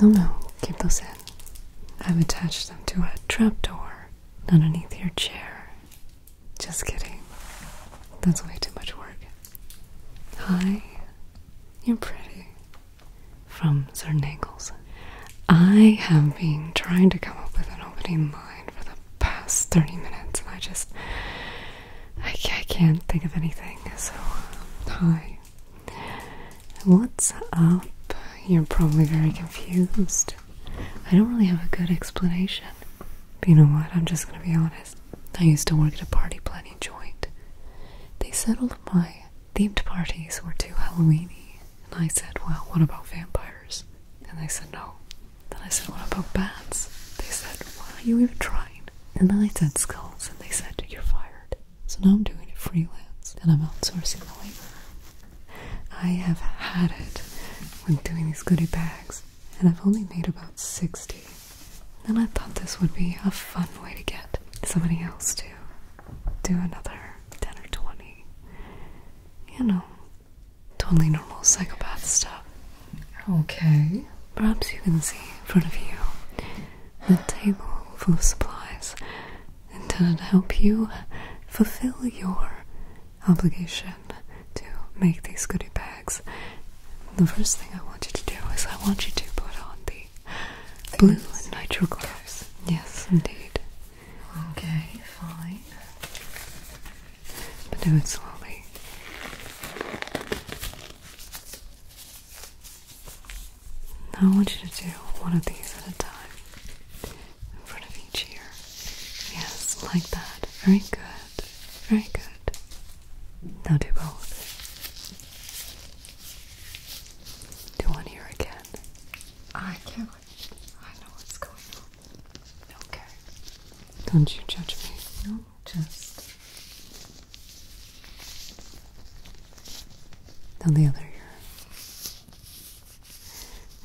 No, no, keep those in. I've attached them to a trapdoor underneath your chair. Just kidding. That's way too much work. Hi, you're pretty. From Sir Nagels. I have been trying to come up with an opening line for the past 30 minutes and I just. I can't think of anything. So, um, hi. What's up? You're probably very confused. I don't really have a good explanation you know what? I'm just gonna be honest. I used to work at a party planning joint. They said all my themed parties were too Halloweeny, and I said, "Well, what about vampires?" And they said no. Then I said, "What about bats?" They said, "Why are you even trying?" And then I said skulls, and they said, "You're fired." So now I'm doing it freelance, and I'm outsourcing the labor. I have had it when doing these goodie bags and I've only made about 60. And I thought this would be a fun way to get somebody else to do another 10 or 20. You know, totally normal psychopath stuff. Okay. Perhaps you can see in front of you a table full of supplies intended to help you fulfill your obligation to make these goodie bags. The first thing I want you to do is I want you to put on the blue and nitro gloves. Yes, indeed. Okay, fine. do it slowly. I want you to do one of these at a time. In front of each ear. Yes, like that. Very good. Very good and now do both. Do one here again. I can't. I know what's going on. Okay. Don't you judge me. No, just. Now the other ear.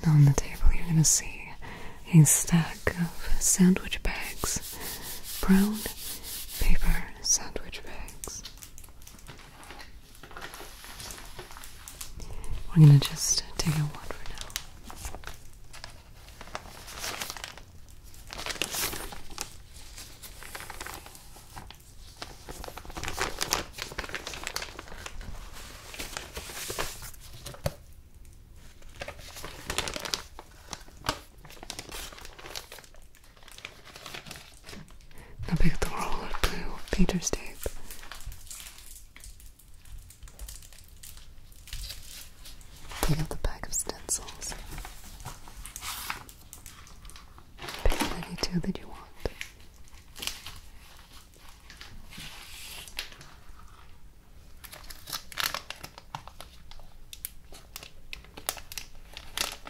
Now on the table, you're gonna see a stack of sandwich bags brown paper sandwich bags. We're gonna just take a one for now. Pick picked the roller blue painter's tape. Pick up the pack of stencils. Pick up any two that you want.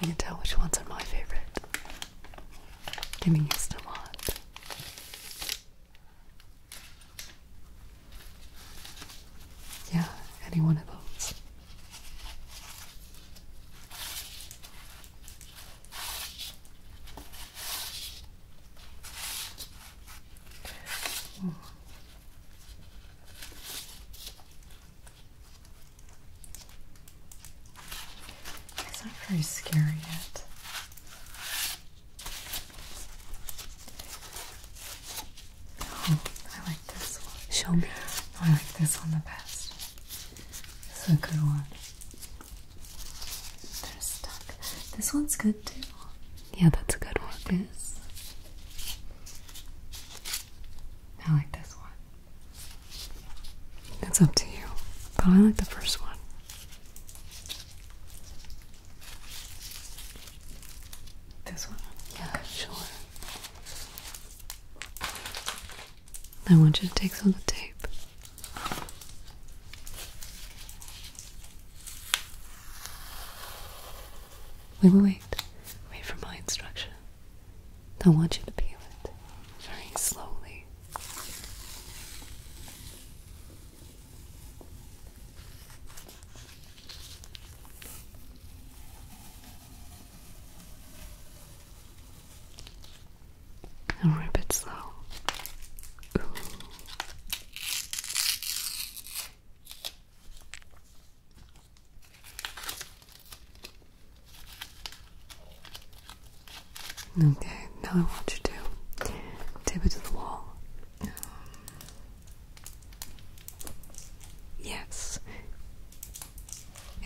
You can tell which ones are my favorite. Getting used a lot. Yeah, any one of those. Hmm. It's not very scary yet. Oh, I like this one. Show me. Oh, I like this one the best. It's a good one. They're stuck. This one's good too. Yeah, that's a good one. I like this one. It's up to you, but I like the first one. This one? Yeah, sure. I want you to take some of the tape. Wait, wait, wait. Wait, for my instruction. I want you to peel it very slowly. And rip it slow. Okay, now I want you to tip it to the wall. Um, yes.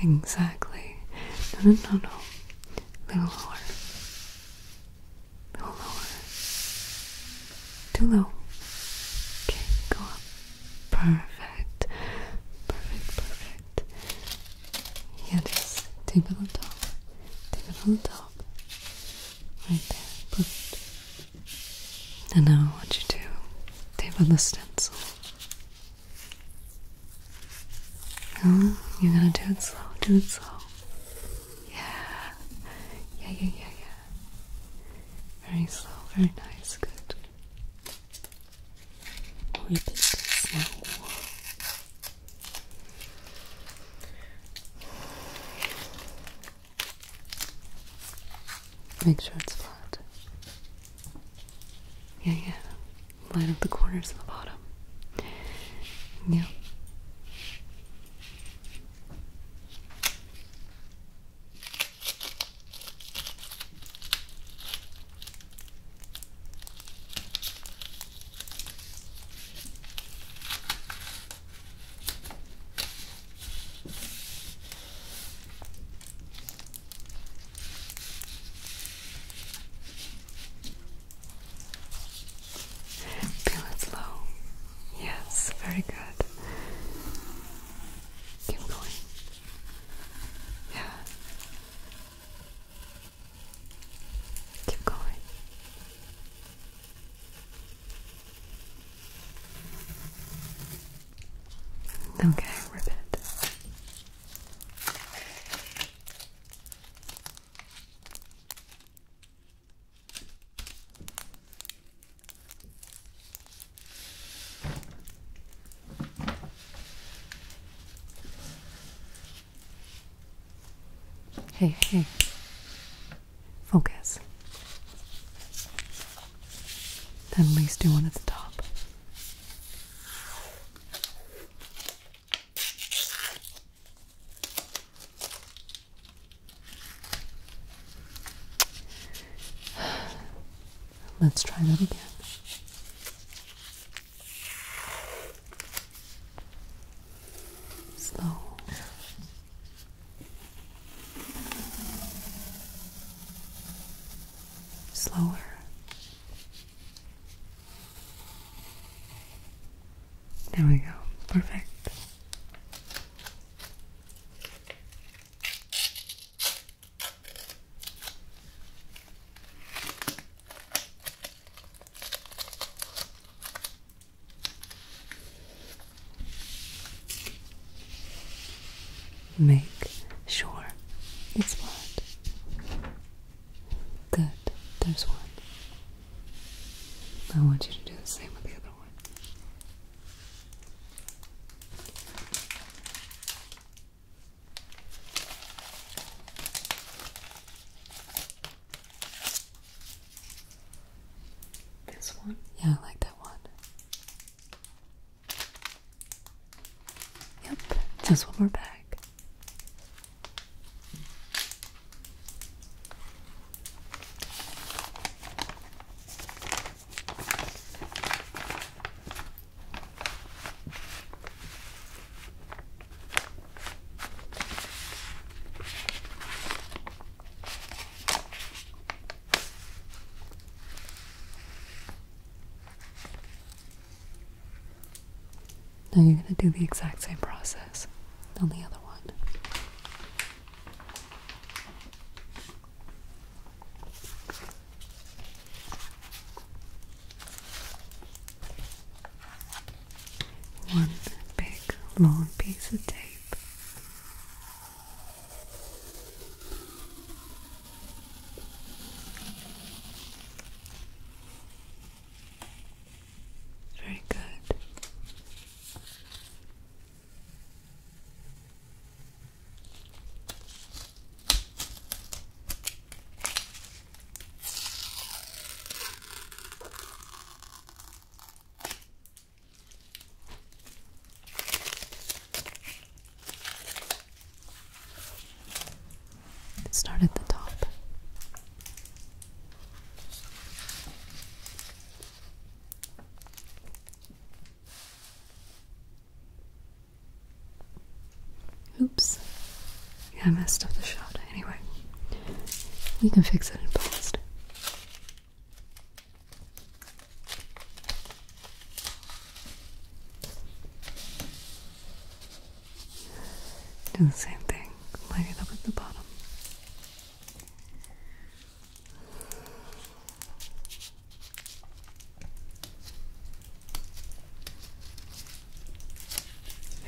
Exactly. No, no, no, no. A little lower. A little lower. Too low. Okay, go up. Perfect. Perfect, perfect. Yeah, just tape it on top. tape it on top. Right there. Perfect. And now what you do? Tape on the stencil. you're gonna do it slow. Do it slow. Yeah. Yeah, yeah, yeah, yeah. Very slow, very nice, good. Whip it slow. Make sure it's flat. Yeah, yeah. Line up the corners and the bottom. Yep. Feel it slow. Yes, very good. Keep going. Yeah. Keep going. Okay, rip it. Hey, hey. Focus. at least do one at the top. Let's try that again. Slow. Slower. There we go. Perfect. Make sure it's flat. Good, there's one. I want you to do the same with the other one. This one? Yeah, I like that one. Yep, just one more bag. Now you're going to do the exact same process on the other one. One big long piece of tape. Very good. Start at the top. Oops. Yeah, I messed up the shot. Anyway, we can fix it in post. Do the same thing. Line it up at the bottom.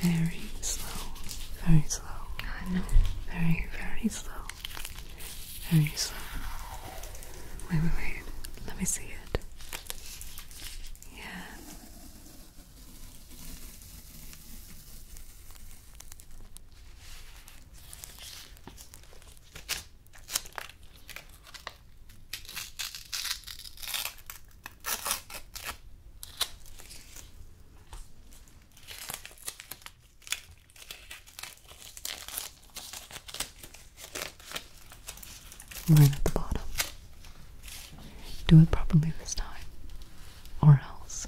Very slow, very slow. I know. Very, very slow. Very slow. Wait, wait, Let me see it. Yeah. Right at the bottom. Do it properly this time, or else.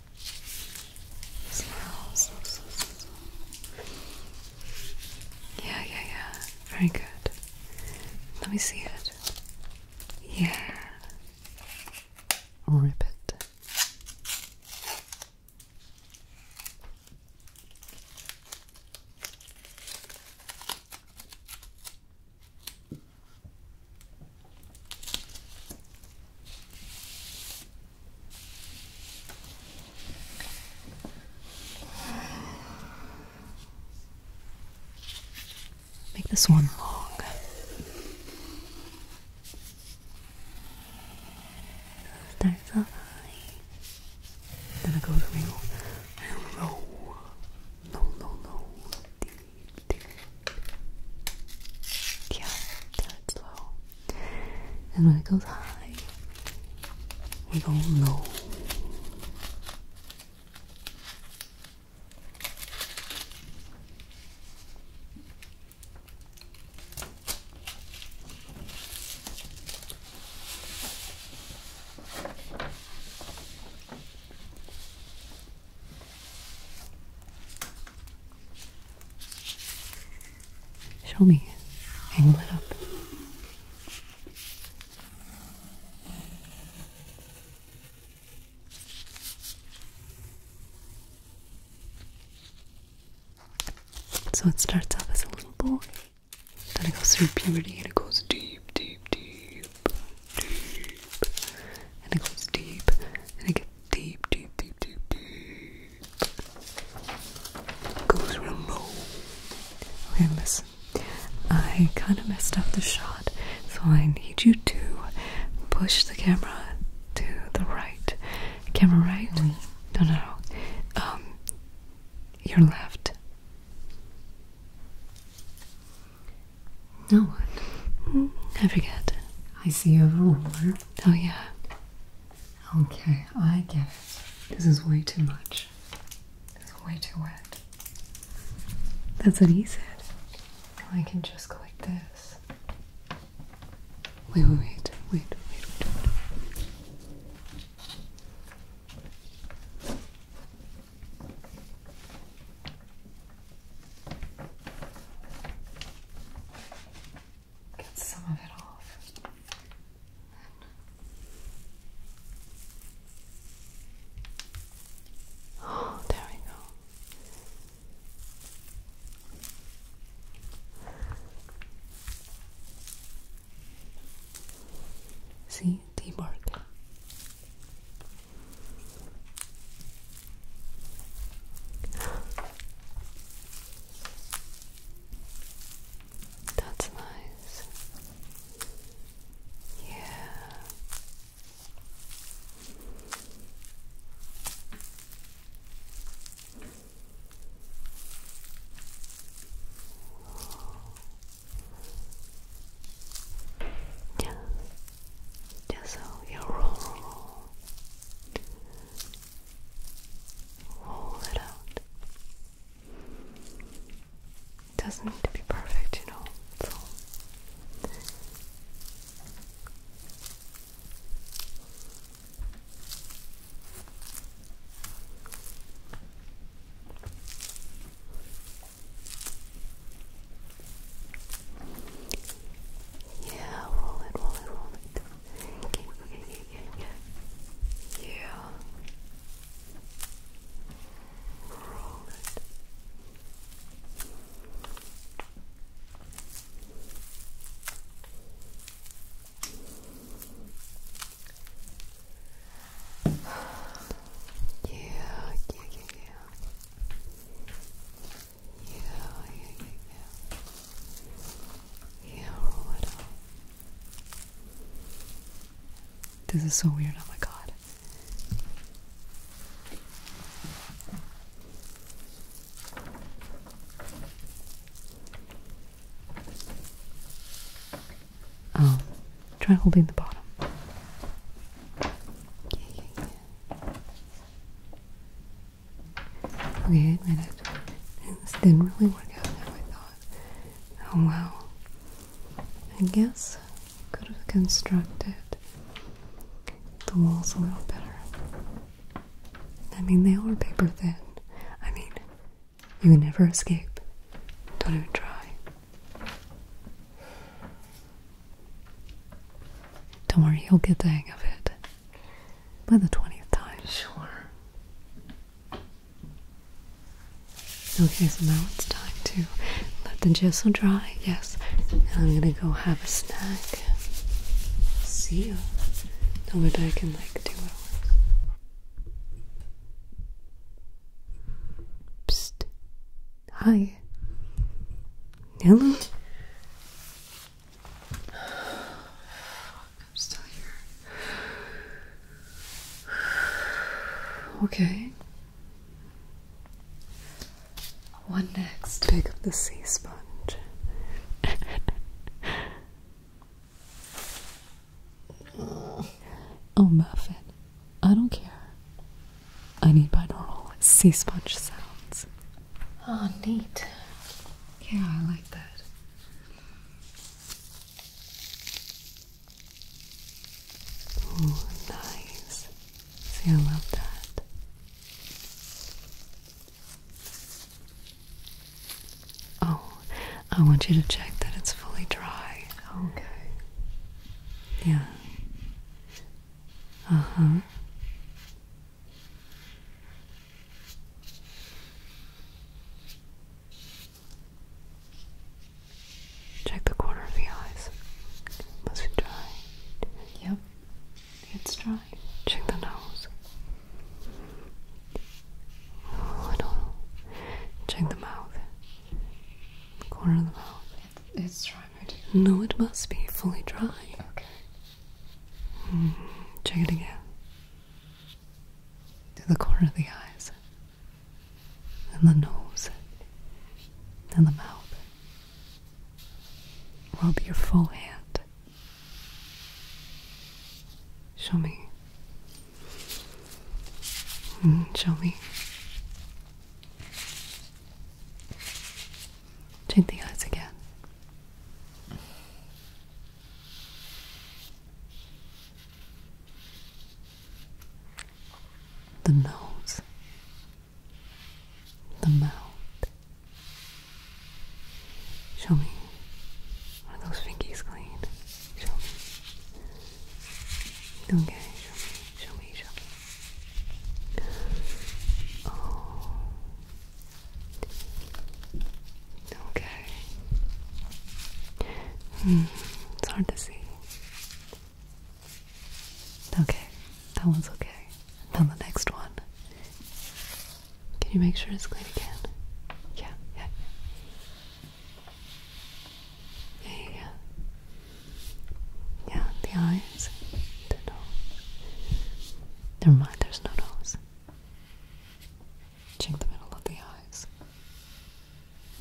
Yeah, yeah, yeah. Very good. Let me see it. Yeah. Rip it. Make this one long. Start off Then I go to real low. Low, low, low. Deep. Yeah, that's low. And when it goes high, we go low. Show me. Hang that up. So it starts off as a little boy. Then it goes through puberty and it goes deep, deep, deep, deep. And it goes deep and it gets deep, deep, deep, deep, deep. Goes real low. Okay, listen. I kind of messed up the shot, so I need you to push the camera to the right. Camera right? Mm. No, no, no. Um, your left. No, what? Hmm. I forget. I see a ruler. Mm. Oh, yeah. Okay, I get it. This is way too much. This is way too wet. That's what he said. I can just go like this. Wait, wait, wait, wait, wait, wait. wait get some of it off. Oh, there we go. See, teamwork. That's nice. Yeah. Yeah. Just so you roll, roll it out. Doesn't need to be perfect, you know. Yeah, roll it, roll it, roll it. Yeah. Roll it. Yeah, yeah, yeah, yeah you, you, you, you, you little. This is so weird. Oh my god. Um, try holding the bottom. Okay, I admit it. This didn't really work out how I thought. Oh well. I guess I could have constructed the walls a little better. I mean, they are paper thin. I mean, you can never escape. Don't even try. Don't worry, he'll get the hang of it by the 20th time. Sure. Okay, so now it's time to let the gesso dry. Yes. And I'm gonna go have a snack. See you. I'll be back in like do it. Psst. Hi. Hello. I'm still here. Okay. One next? Pick up the sea sponge. oh, Muffin. I don't care. I need binaural sea sponge sounds. Oh, neat. Yeah, I like that. Oh, nice. See, I love that. Oh, I want you to check that it's fully dry. Okay. Yeah. Uh huh. Check the corner of the eyes. Was it dry? Yep, it's dry. Check the nose. Oh, I Check the mouth. The corner of the mouth. It's, it's dry. No, it must be fully dry. Okay. Hmm, check it again. To the corner of the eyes, and the nose, and the mouth. Rub your full hand. Show me. Hmm, show me. Check the eyes again. The nose, the mouth. Show me. Are those fingies clean? Show me. Okay, show me, show me, show oh. Okay. Mm, it's hard to see. Okay, that one's okay. Now the next one. Can you make sure it's clean again? Yeah, yeah. Yeah, yeah, yeah. the eyes, the nose, Never mind, there's no nose. Check the middle of the eyes.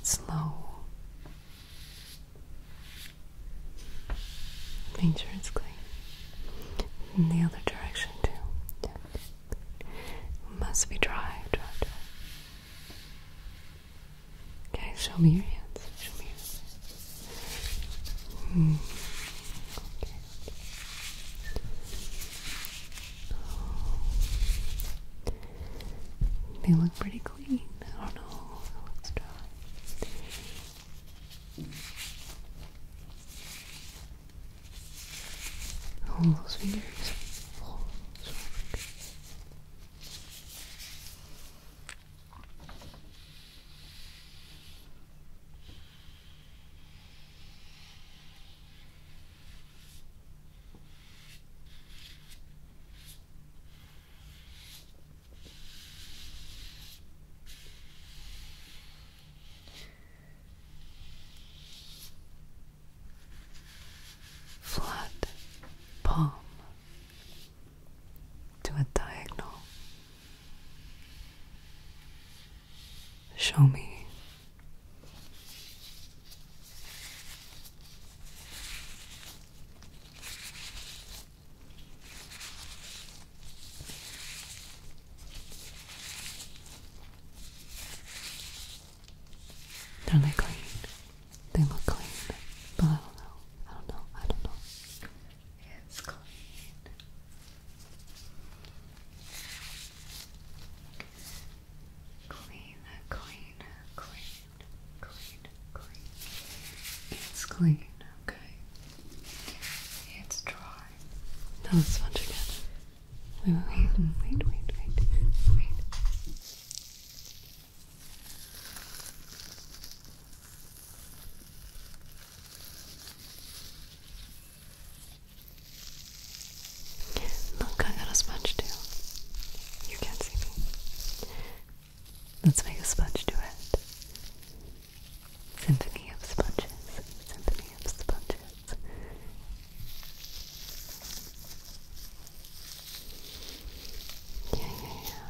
Slow. Make sure it's clean. In the other direction, too. Yeah. Must be dry, dry, dry. Okay, show me your hands. Show me your hands. Hmm. Okay. They look pretty clean. I don't know. It looks dry. Oh, those fingers. Oh, so Flat palm to a diagonal Show me. are like clean. They look clean. But I don't know. I don't know. I don't know is clean. Clean, clean, clean, clean, clean. It's clean, okay? It's dry. Now let's sponge again. Wait, wait, wait, wait, wait, wait. Look, I got a sponge too. You can't see me. Let's make a sponge duet. Symphony of sponges. Symphony of sponges. Yeah, yeah, yeah.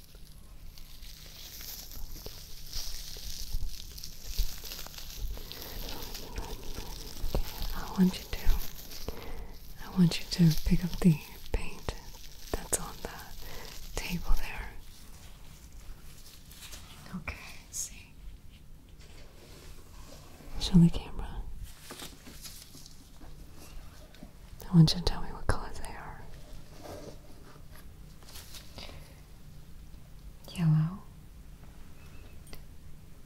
I want you to I want you to pick up the paint that's on the table there. Okay, see. Show the camera. I want you to tell me what colors they are. Yellow,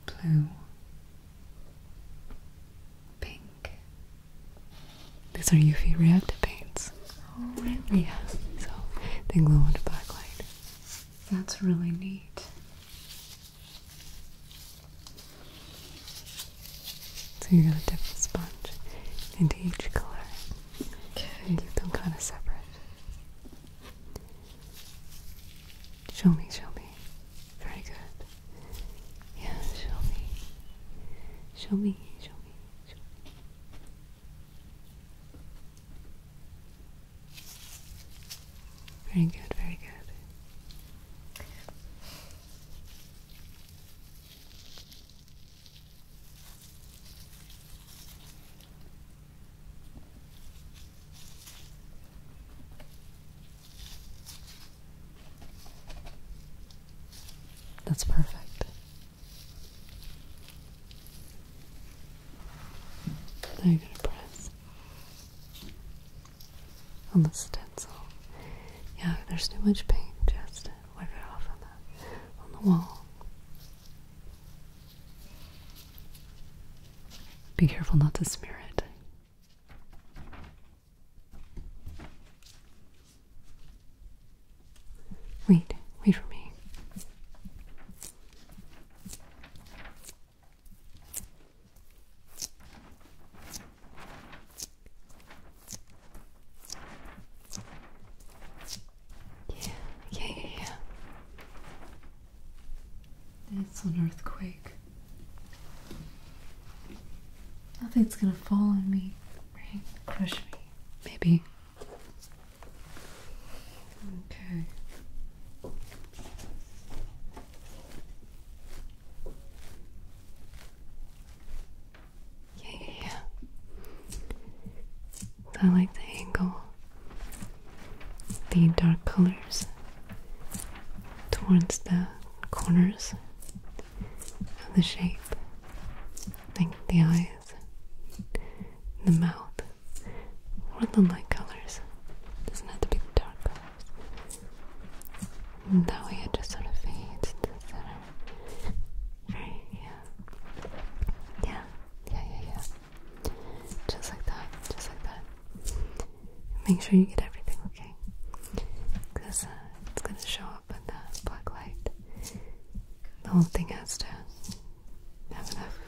blue, pink. These are UV reactive paints. Oh, really? Yeah, so they glow under black light. That's really neat. So you're gonna dip the sponge into each color. Okay. keep them kind of separate. Show me, show me. Very good. Yeah, show me. Show me, show me, show me. Very good, very good. That's perfect. Now you going to press on the stencil. Yeah, there's too much paint, Justin wipe it off on the on the wall. Be careful not to smear it. Wait, wait for me. Yeah, yeah, yeah, It's an earthquake. Nothing's gonna fall on me, right? Crush me. Maybe. Okay. Yeah, I like the angle, the dark colors towards the corners of the shape, like the eyes, the mouth, or the light colors. doesn't have to be dark colors. that way it just sort of fades to the center. Yeah. Yeah. Yeah, yeah, yeah. Just like that. Just like that. Make sure you get everything okay. Because uh, it's going to show up in the black The whole thing has to have enough,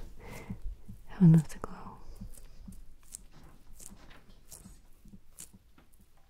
have enough to glow.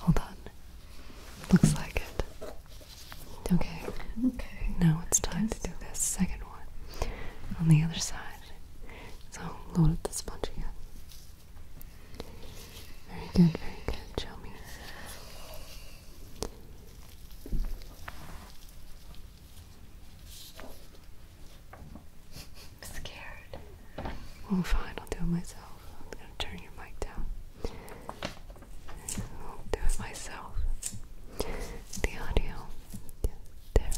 Hold on. Looks like it. Okay. Okay. Now it's time to do this second one on the other side. So load up the sponge again. Very good, very good. Show me. I'm scared. Well, oh, fine, I'll do it myself. I'm gonna turn your mic down. I'll do it myself. The audio. there.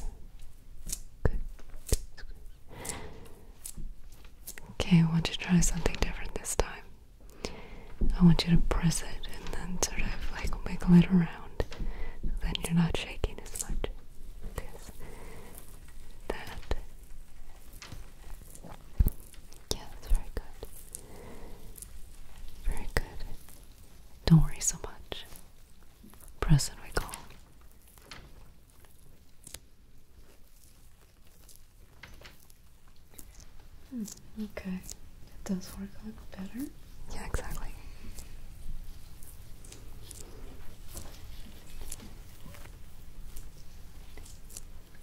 Okay, I want to try something different this time. I want you to press it and then sort of like wiggle it around. then you're not shaking as much. This. That. Yeah, that's very good. Very good. Don't worry so much. Press and recall. Hmm, okay, it does work a little better. Yeah, exactly.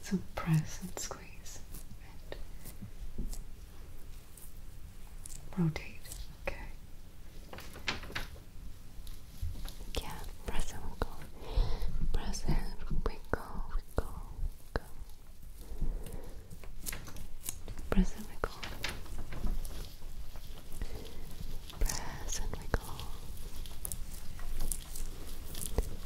So press and squeeze rotate. Okay. Yeah, press and wiggle. Press and wiggle, wiggle, wiggle. Press and wiggle. Press and wiggle.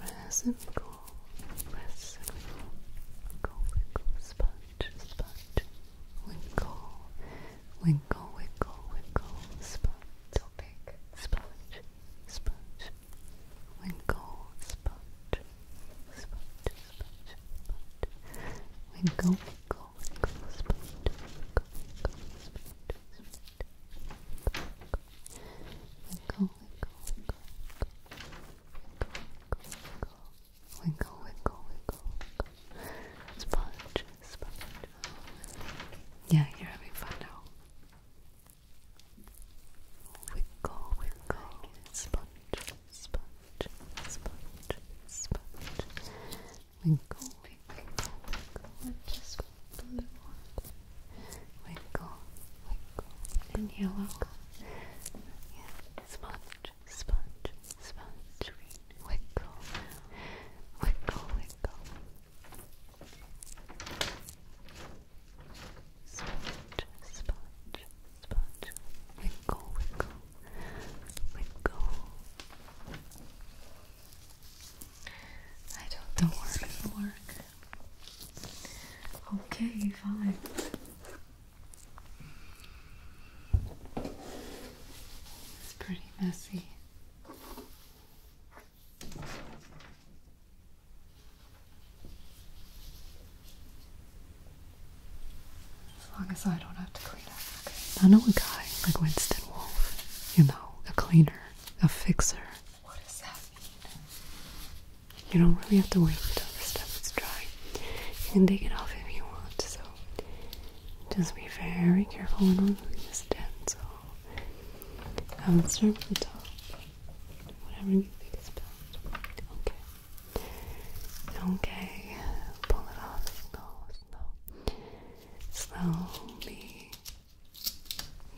reciprocal, reciprocal, winkle, winkle, sponge, sponge, winkle, winkle, winkle, winkle, sponge, opaque, sponge, sponge, winkle, sponge, sponge, sponge, sponge, winkle, winkle, winkle, sponge, winkle, winkle, sponge. Winkle, winkle, winkle, winkle, winkle, winkle, winkle, sponge, sponge. Yeah, you're having fun now. Winkle, winkle, sponge, sponge, sponge, sponge. Winkle, winkle, winkle, and just blue. Winkle, winkle, and yellow. Yeah. Sponge, sponge, sponge. Winkle, winkle, winkle. Sponge, sponge, sponge. Winkle, winkle, winkle. I don't know where it work. Okay, fine. It's pretty messy. As long as I don't have to clean up. Okay. I know a guy like Winston Wolfe, you know, a cleaner a fixer. What does that You don't really have to wait until the stuff is dry. You can take it off if you want, so just be very careful when removing this stencil. I would start with the top. Whatever you think is best. Okay. Okay. Pull it off. Slow, slow. Slowly.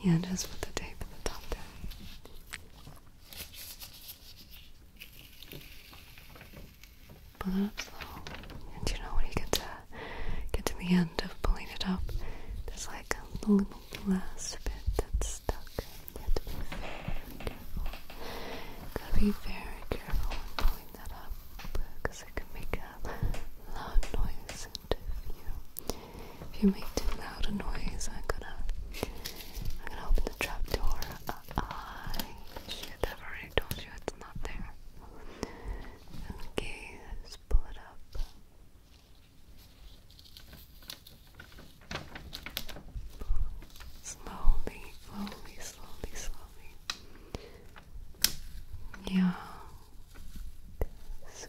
Yeah, just put the tape at the top down. Pull it up slow. And you know when you get to get to the end of pulling it up, there's like a last bit that's stuck. You have to be very careful. Gotta be very careful when pulling that up because it can make a loud noise if you make too loud a noise. I'm gonna I'm gonna open the trap door. Uh, I shit, have already told you it's not there. Okay, pull it up. Slowly, slowly, slowly, slowly. Yeah. So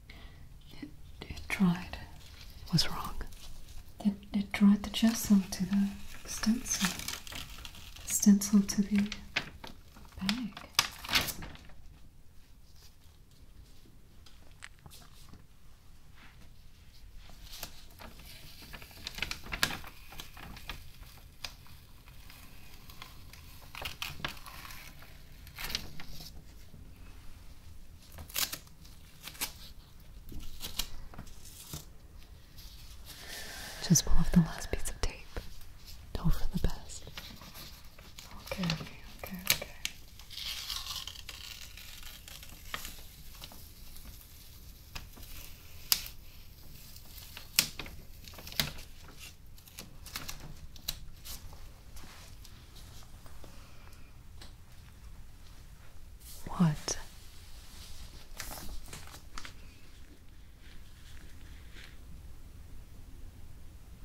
It, it Was wrong? It, it tried to gesso to the stencil. stencil to the bag. Just pull off the last piece of tape. Hope for the best. Okay, okay, okay. What?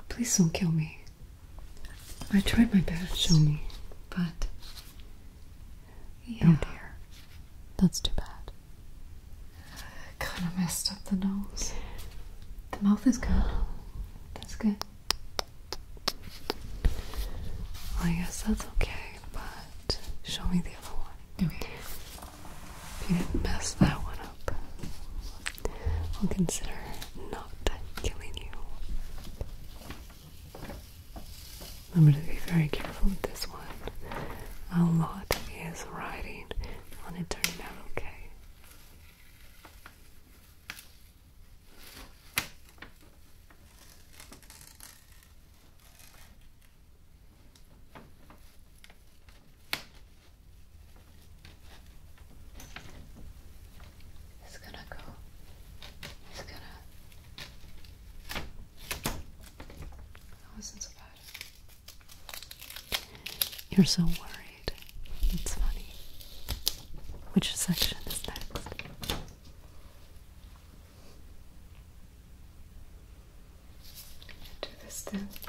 Please don't kill me. I tried my best. Show me. But. Yeah. Oh dear. That's too bad. Kind of messed up the nose. The mouth is good. That's good. I guess that's okay, but show me the other one. Okay. If you didn't mess that one up, I'll consider not killing you. I'm going to be very careful with this one. A lot is riding on it turning out okay. It's gonna go. It's gonna. That wasn't so bad. You're so worried. It's funny. Which section is next? do this then next.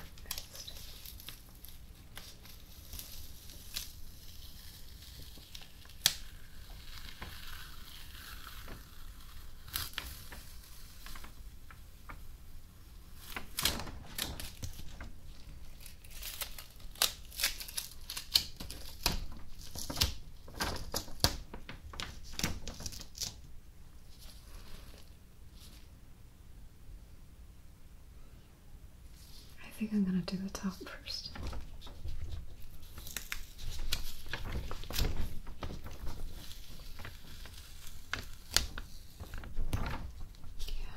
I think I'm going to do the top first. Yeah.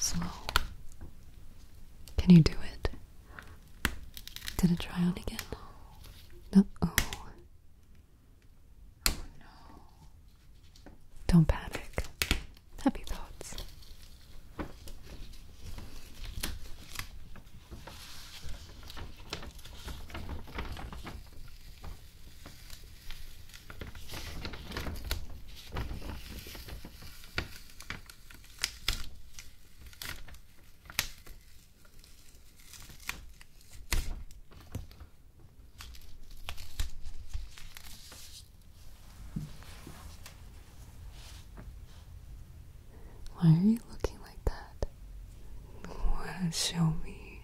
So, can you do it? Did it try on again? No. Oh. Oh, no. Don't panic. Happy thoughts. Why are you looking like that? Show me.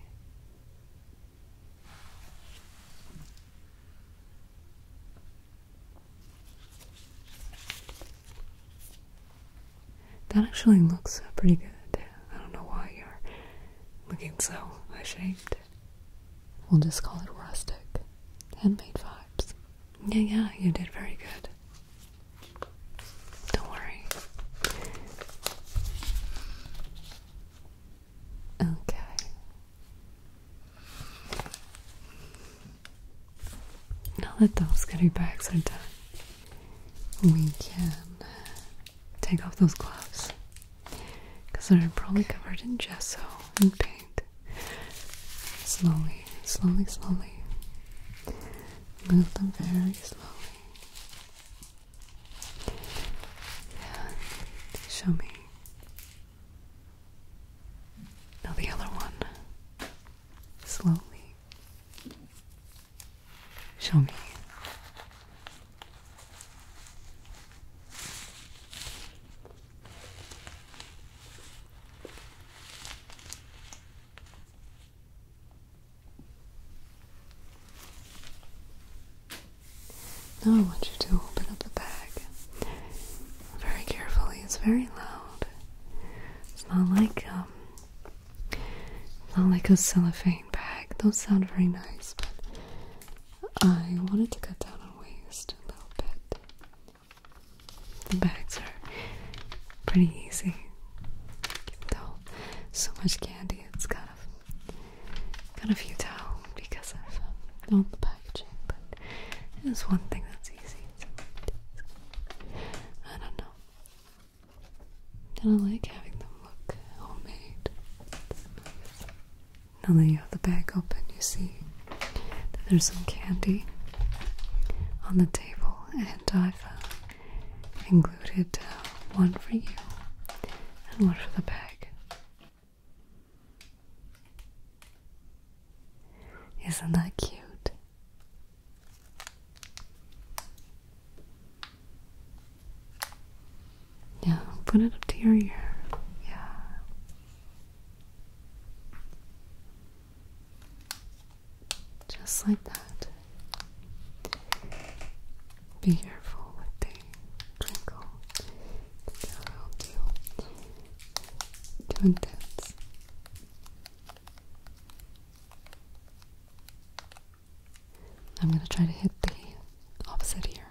That actually looks uh, pretty good. I don't know why you're looking so ashamed. We'll just call it rustic. Handmade vibes. Yeah, yeah, you did very good. Don't worry. Okay. Now that those goodie bags are done, we can take off those gloves because they're probably covered in gesso and paint. Slowly, slowly, slowly. Move them very slowly. And show me now the other one. Slowly. Show me. Now I want you to open up the bag very carefully. It's very loud. It's not like um, not like a cellophane bag. Those sound very nice, but I wanted to cut down on waste a little bit. The bags are pretty easy. though so much candy, it's kind of kind of futile because I've all the bag but it's one thing that's easy. I don't know. And I like having them look homemade. Nice. Now that you have the bag open, you see there's some candy on the table, and I've uh, included uh, one for you and one for the bag. Isn't that cute? Yeah, put it up to your ear. Yeah. Just like that. Be careful with the twinkle. It's around you. Too I'm going to try to hit the opposite here.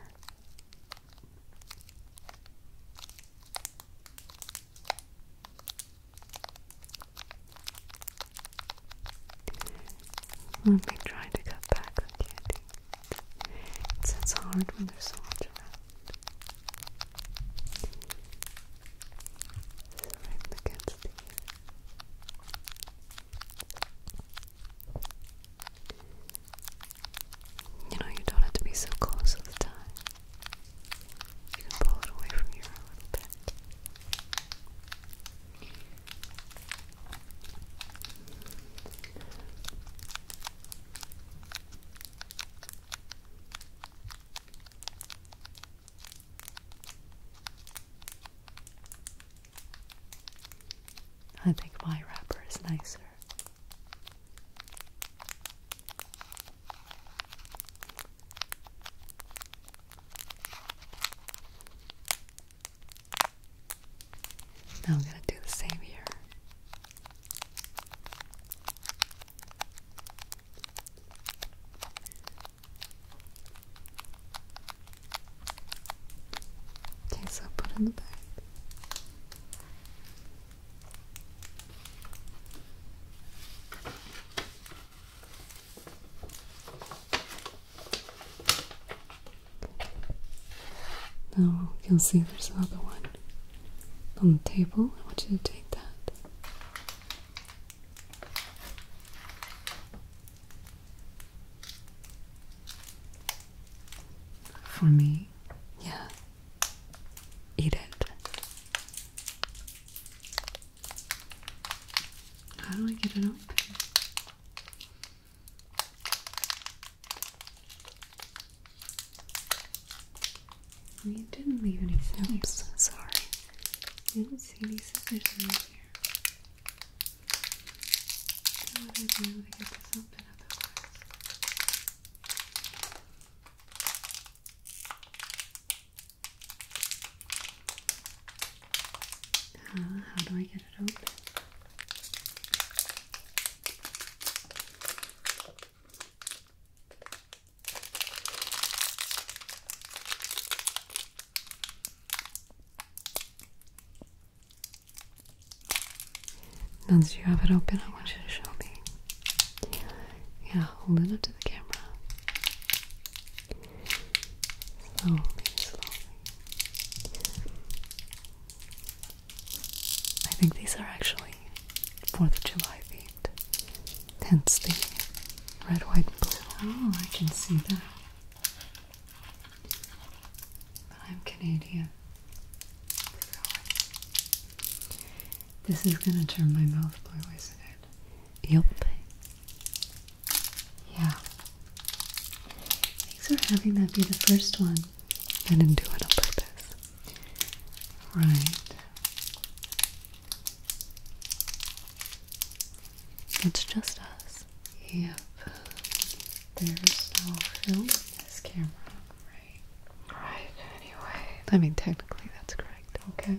Let me try to cut back on candy. It's, hard when there's so much around. It's you know, you don't have to be so close all the time. You can pull it away from you a little bit. I think my wrapper is nicer. Now I'm going to do the same here. Okay, so put in the bag. Now you'll see there's another one on the table. I want you to take that. For me, yeah. Eat it. How do I get it open? You didn't leave any scissors. sorry. I didn't see any scissors in here. I would have been to get this open uh, how do I get it open? Once you have it open, I want you to show me. Yeah, hold it up to the camera. Slowly, slowly. I think these are actually 4th of July themed, hence the red, white, and blue. Oh, I can see that. I'm Canadian. This is gonna turn my mouth blue, isn't it? Yep. Yeah. Thanks for having that be the first one. I didn't do it on purpose. Right. It's just us. Yep. There's no film in this camera. Right. Right, anyway. I mean, technically that's correct. Okay.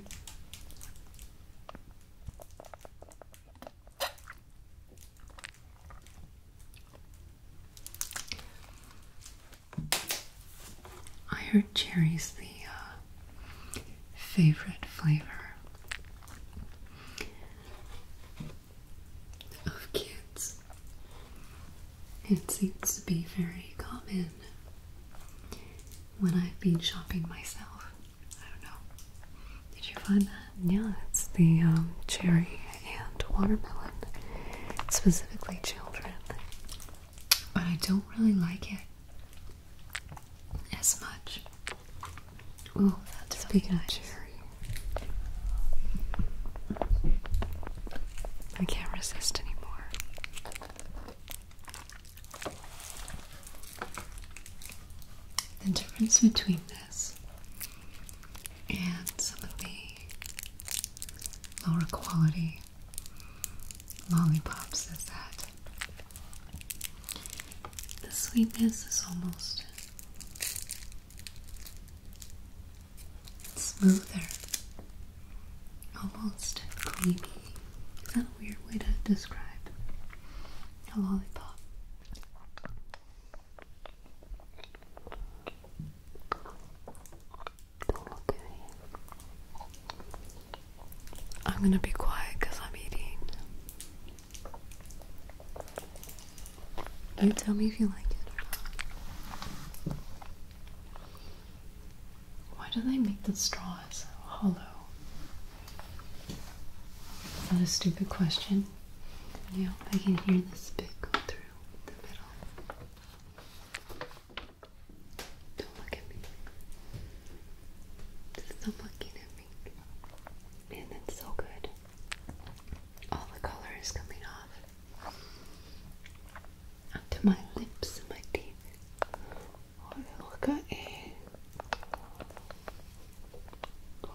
I heard cherries the uh, favorite flavor of kids. It seems to be very common when I've been shopping myself. I don't know. Did you find that? Yeah, it's the um, cherry and watermelon, specifically children. But I don't really like it as much. Oh, that's speaking really cherry, I can't resist anymore. The difference between this and some of the lower quality lollipops is that the sweetness is almost smoother, almost creamy. Is that a weird way to describe a lollipop? I'm gonna be quiet because I'm eating. You tell me if you like it or not. Why do they make the straws hollow? That's a stupid question? Yeah, I can hear this bit go through the middle. Don't look at me. Stop looking at me. And it's so good. All the color is coming off. Onto my lips and my teeth. Oh, look at it. Oh,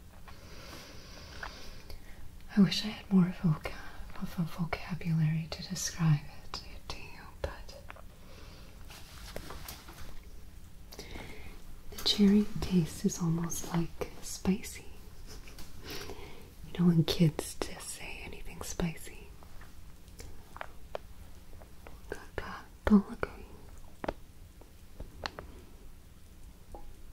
I wish I had more of a vocabulary to describe it to you, but the cherry taste is almost like spicy. You know, when kids just say anything spicy. Kaka,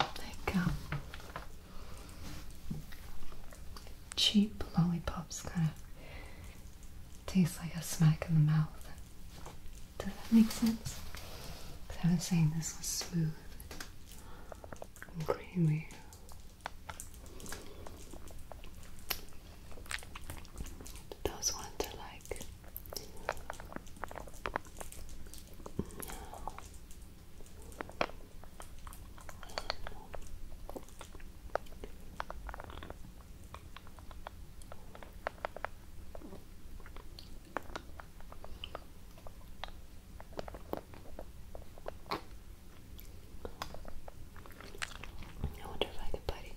like um, cheap lollipops kind of taste like a smack in the mouth. Does that make sense? I was saying this was smooth creamy. Those ones are like I wonder if I could put it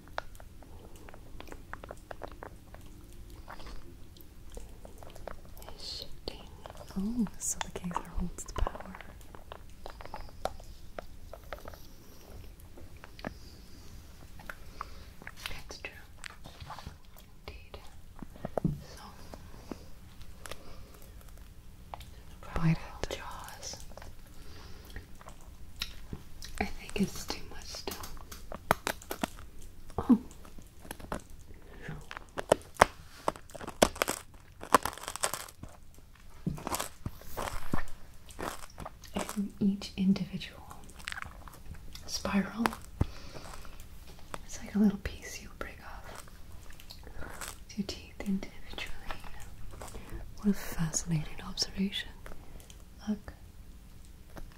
Oh, so the Kaiser holds the power. That's Indeed. So Jaws. I think it's too much stuff. Oh. each individual spiral, it's like a little piece you break off Two teeth individually. What a fascinating observation. Look.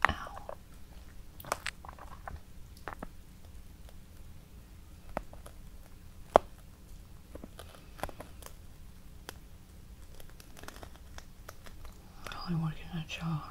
Ow. Really working that jaw hard.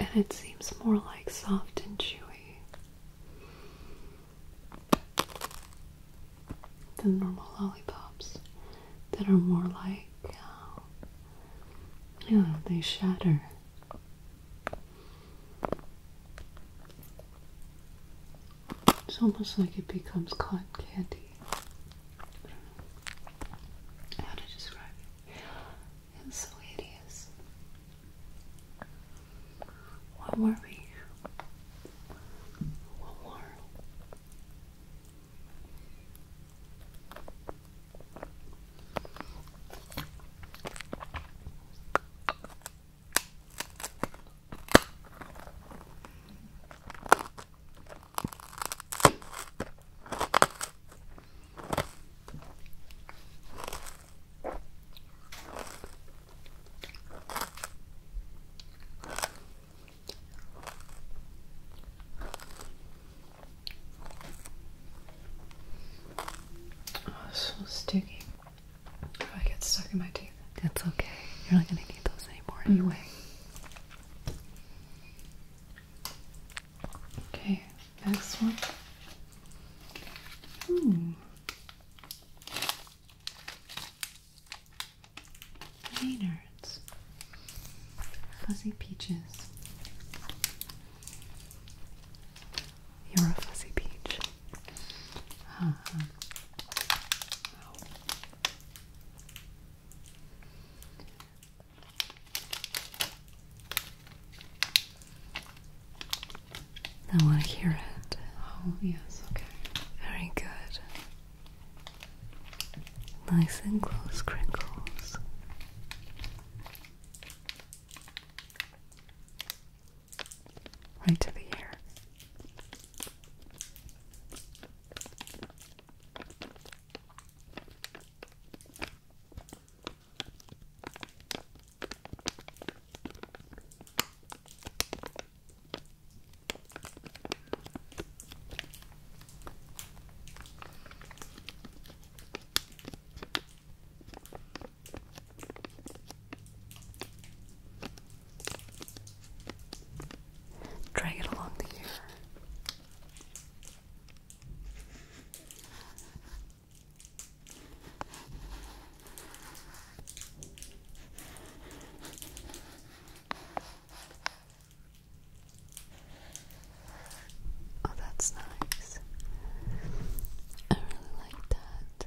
And it seems more like soft and chewy than normal lollipops that are more like, oh, they shatter. It's almost like it becomes cotton candy. how to describe It's so hideous. One more we? One more. Oh, so sticky. I get stuck in my teeth. That's okay. You're not going to need those anymore mm. anyway. Okay, next one. Hmm. Maynards. Fuzzy peaches. You're a fuzzy peach. I want to hear it. Oh, yes, okay. Very good. Nice and close crinkles right to the air. Drag it along the ear. Oh, that's nice. I really like that.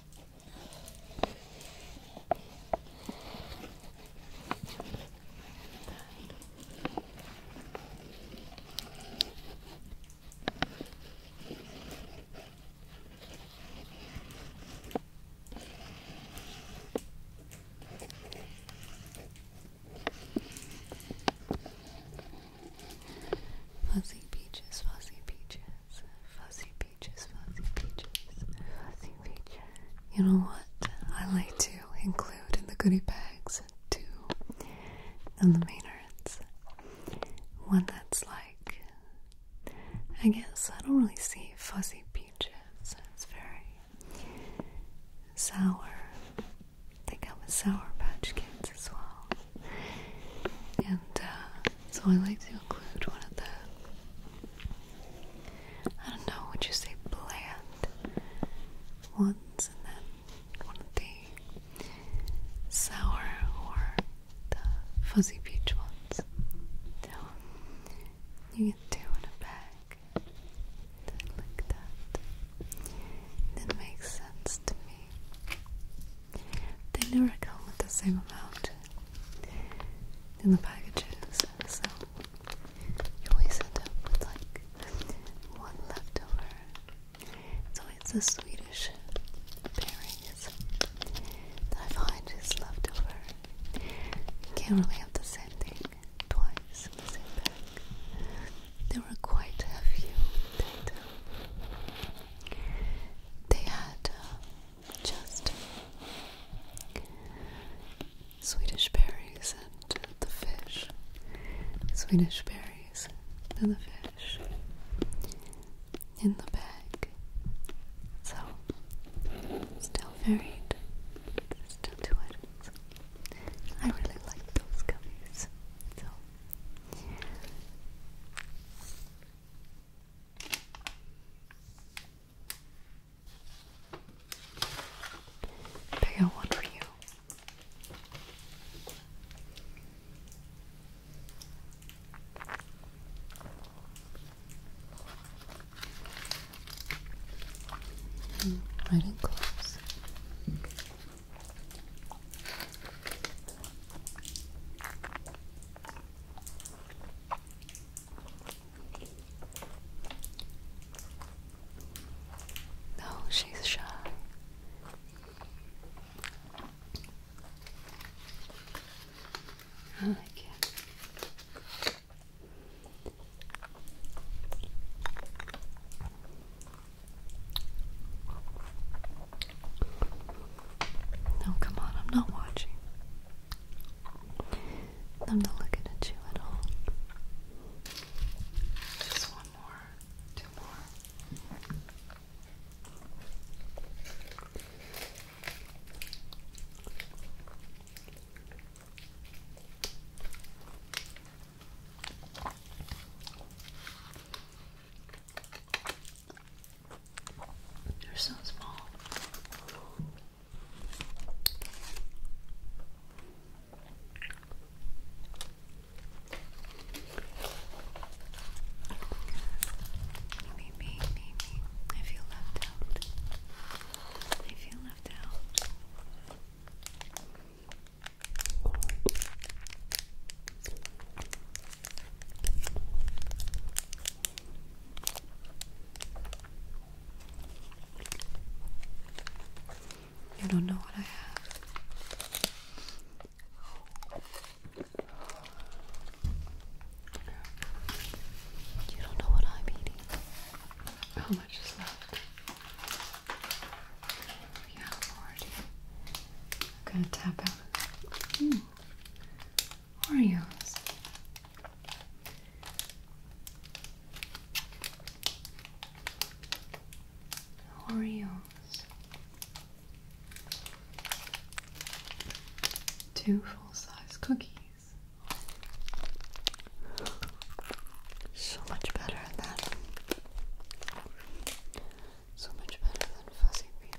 Fuzzy peaches, fuzzy peaches. Fuzzy peaches, fuzzy peaches, fuzzy peaches. You know what? I like to include in the goodie bags two illuminators. One that's like, I guess I don't really see fuzzy peaches. It's very sour. They come with Sour Patch Kids as well and uh, so I like to include one of the, I don't know, would you say bland ones, and then one of the sour or the fuzzy peach ones. So you get two in a bag, like that. It makes sense to me. They never come with the same amount in the packages, so you always end up with like one leftover. So it's a Swedish pairing that I find is leftover. You can't really have the same thing twice in the same pack. There were quite a few. They had uh, just Swedish berries and the fish. Swedish berries and the fish in the bag. So, still varied, still two items. I really like those gummies. So, Pick out one for you. right hmm, in close. No, oh, she's shy. I like it. No, come on, I'm not watching. I'm not looking at you at all. Just one more, two more. They're so small. Me, me, I feel left out. I feel left out. You don't know what I have. You don't know what I'm eating. How much is left? Yeah, I'm gonna tap out. Hmm. Oreos. Oreos. Two full-size cookies. So much better than so much better than Fuzzy Beach.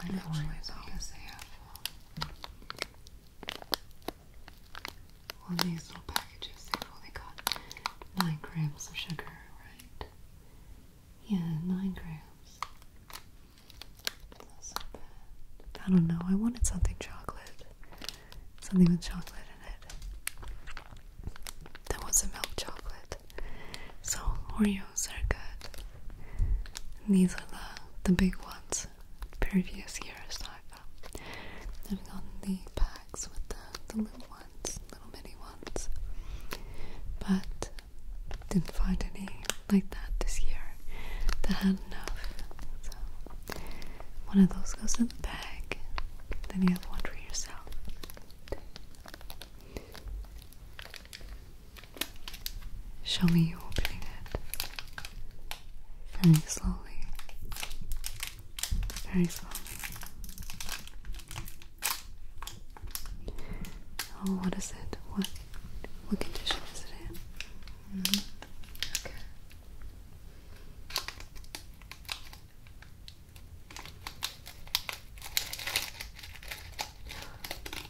I know it's because these little packages, they've only got 9 grams of sugar, right? Yeah, 9 grams. I don't know, I wanted something chocolate. Something with chocolate in it. That was a milk chocolate. So Oreos are good. these are the the big ones. Previous years I've um, I've gotten the packs with the, the little ones, little mini ones. But didn't find any like that this year that had enough. So one of those goes in on then you have one for yourself. Show me you opening it. Very slowly. Very slowly. Oh, what is it? What what condition is it in? Mm-hmm.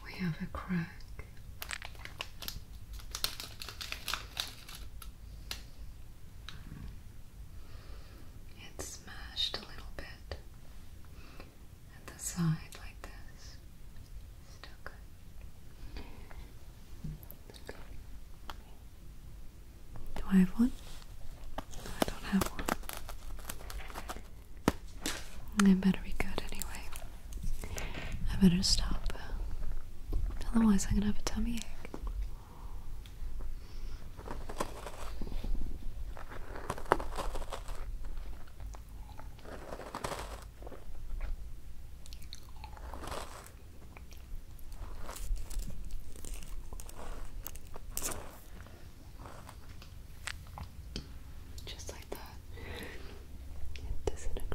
We have a crack. It's smashed a little bit at the side like this. Still good. Do I have one? I don't have one. It better be good anyway. I better stop. Otherwise, I'm gonna have a tummy ache. Just like that, it disintegrates.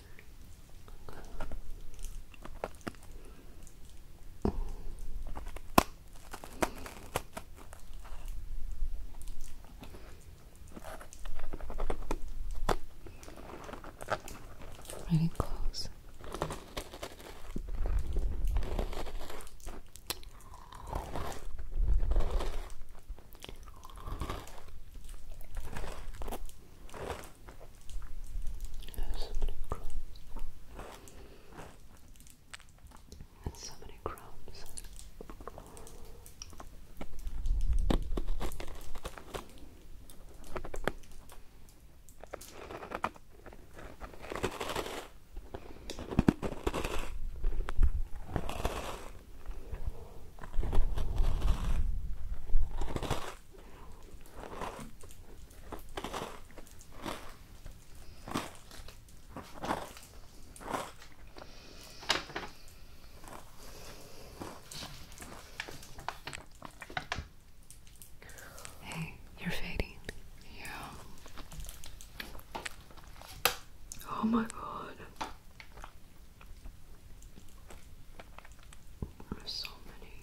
Really close. There's so many crumbs. so many crumbs. Hey, you're fading. Yeah. Oh my god so many.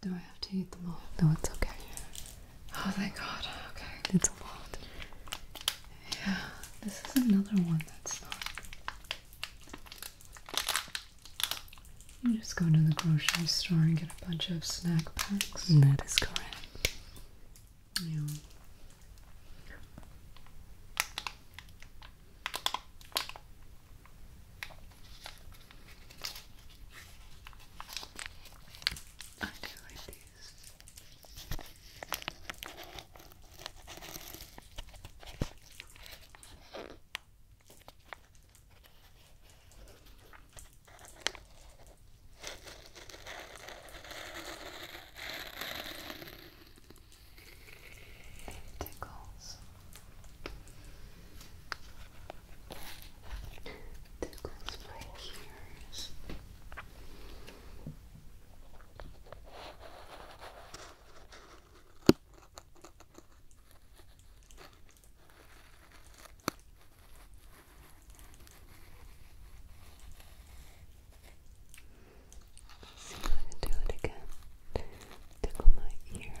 Do I have to eat them all? No, it's okay. Oh, thank God. Okay. It's a lot. Yeah, this is another one that's not. You just go to the grocery store and get a bunch of snack packs. And that is correct. Yeah. I do these. It tickles. Tickles my ears. It just going do it again. Tickle my ear.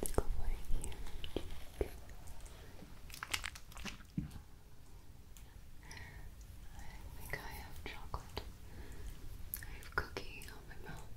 Tickle my ear. I think I have chocolate. I have cookie on my mouth.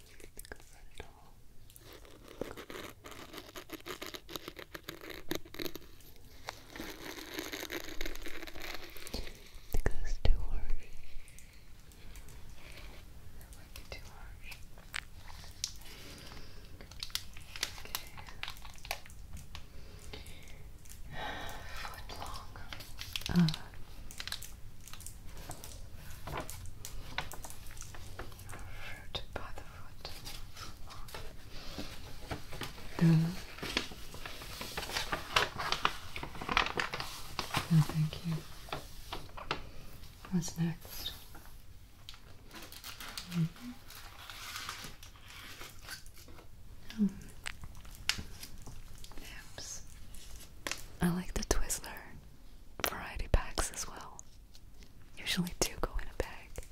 Because it it's too harsh. That too harsh. Okay. Foot long. Uh, Fruit by the foot. Good. No, thank you. What's next? Mm I like the Twizzler variety packs as well. Usually do go in a bag.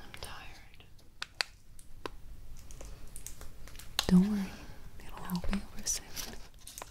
I'm tired. Don't worry, it'll help you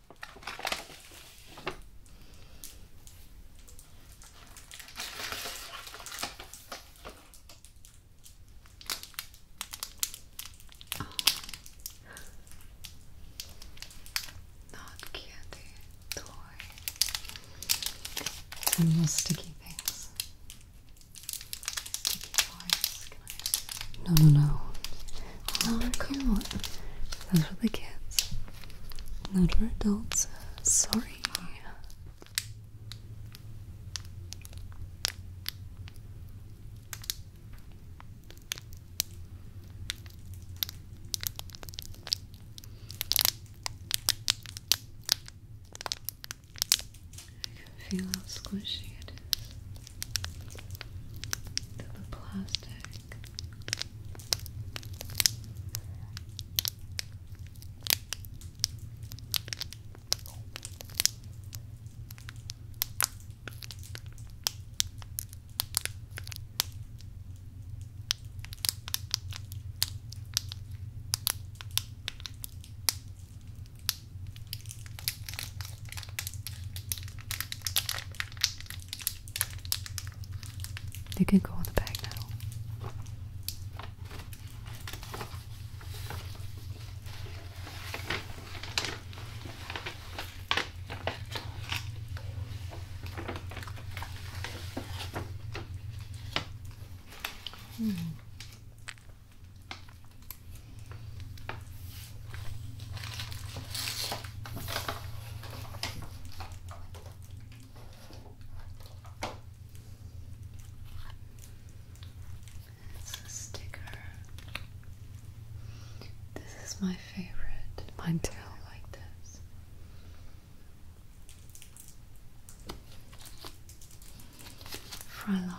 Oh. Not candy, toy, and little sticky things. Sticky toys. No, no, no. Oh, Not for kids. That's for the Not for adults. Sorry. I can feel how squishy it is to the plastic. You can go on the bag now. Hmm. It's a sticker. This is my favorite. Mine I like this. Frylock.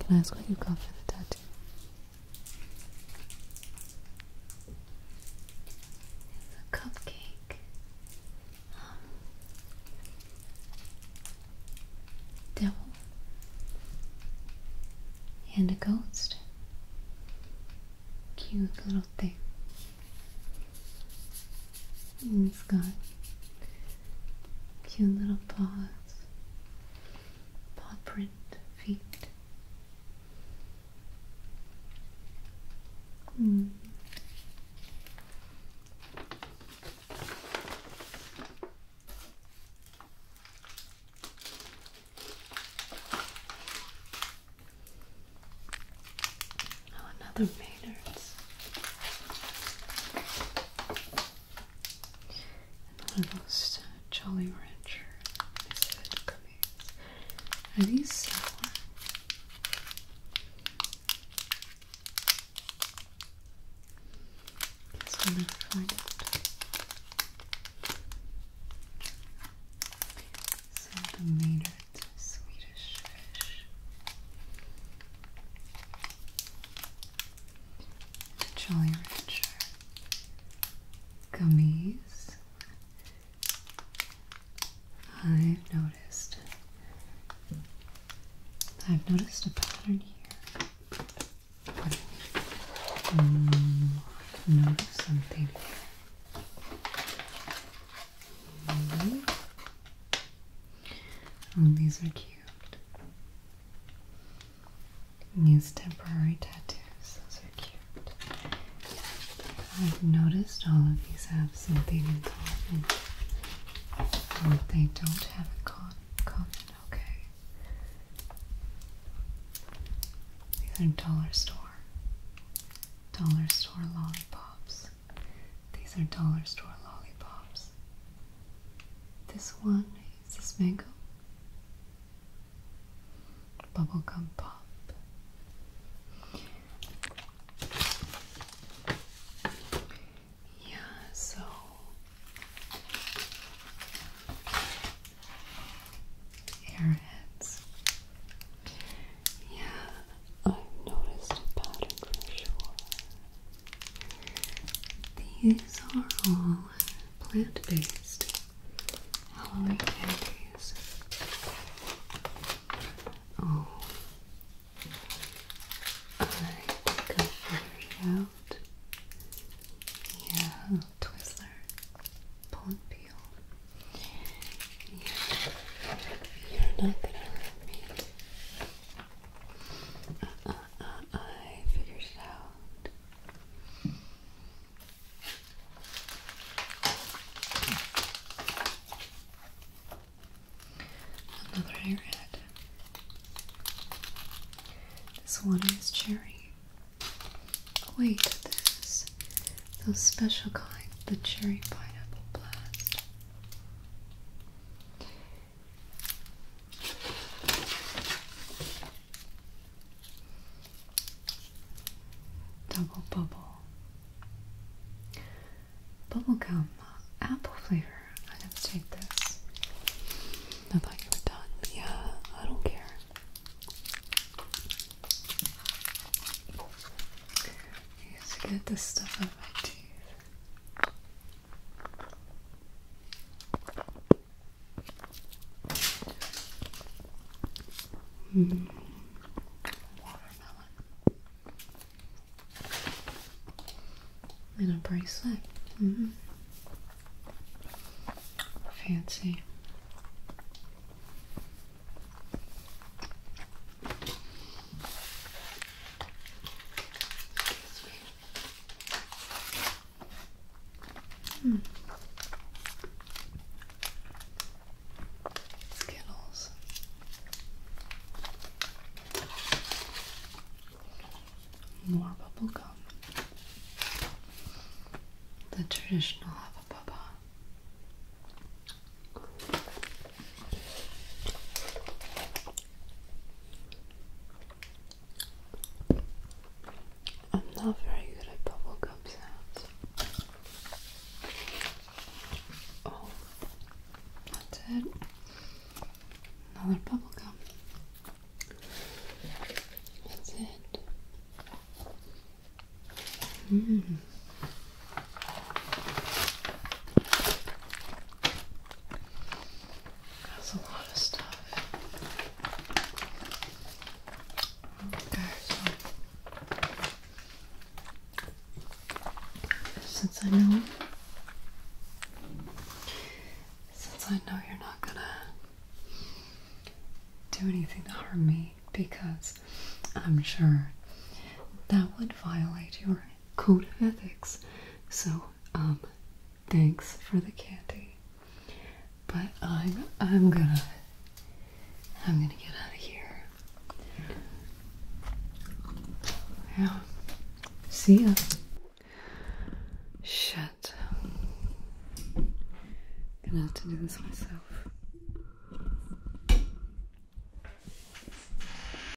Can I ask what you got for the tattoo? a cupcake. Um, devil and a ghost. Cute little thing. And it's got cute little paws, paw print feet. Hmm. Oh, another containers. Uh, Jolly Rancher Are these sour? Guess we'll find out. So Swedish fish. The Jolly Rancher gummies. I've noticed. I've noticed a pattern here. Pardon hmm, me. I've noticed something Mm these are cute. These temporary tattoos, those are cute. I've noticed all of these have something in common. Oh, they don't have a common, okay. These are dollar store. Dollar store lollipops. These are dollar store lollipops. This one is this mango. Bubblegum pop. Yeah, so airheads. Yeah, I've noticed a pattern for sure. These are all plant-based Halloween candies. Oh, I think I out. Yeah, Twizzler, Pond you're not gonna hurt me. I figured it out. Another I This one is cherry. wait, this those special kind, the cherry pineapple blast. Double bubble. gum, apple flavor. I didn't take this. I thought you were done. Yeah, I don't care. get this stuff out of my teeth. Mm. Watermelon. And a bracelet. -hmm. Fancy. Hmm. Skittles. More bubble gum. The traditional Hubba Bubba. I'm not very good at bubblegum sounds. Oh, that's it. Another bubblegum. That's it. Mm. That's a lot of stuff. since I know since I know you're not gonna do anything to harm me because I'm sure that would violate your code of ethics. So, um, thanks for the candy. But I'm I'm gonna I'm gonna get out of here. Yeah. See ya. Shit. Gonna have to do this myself.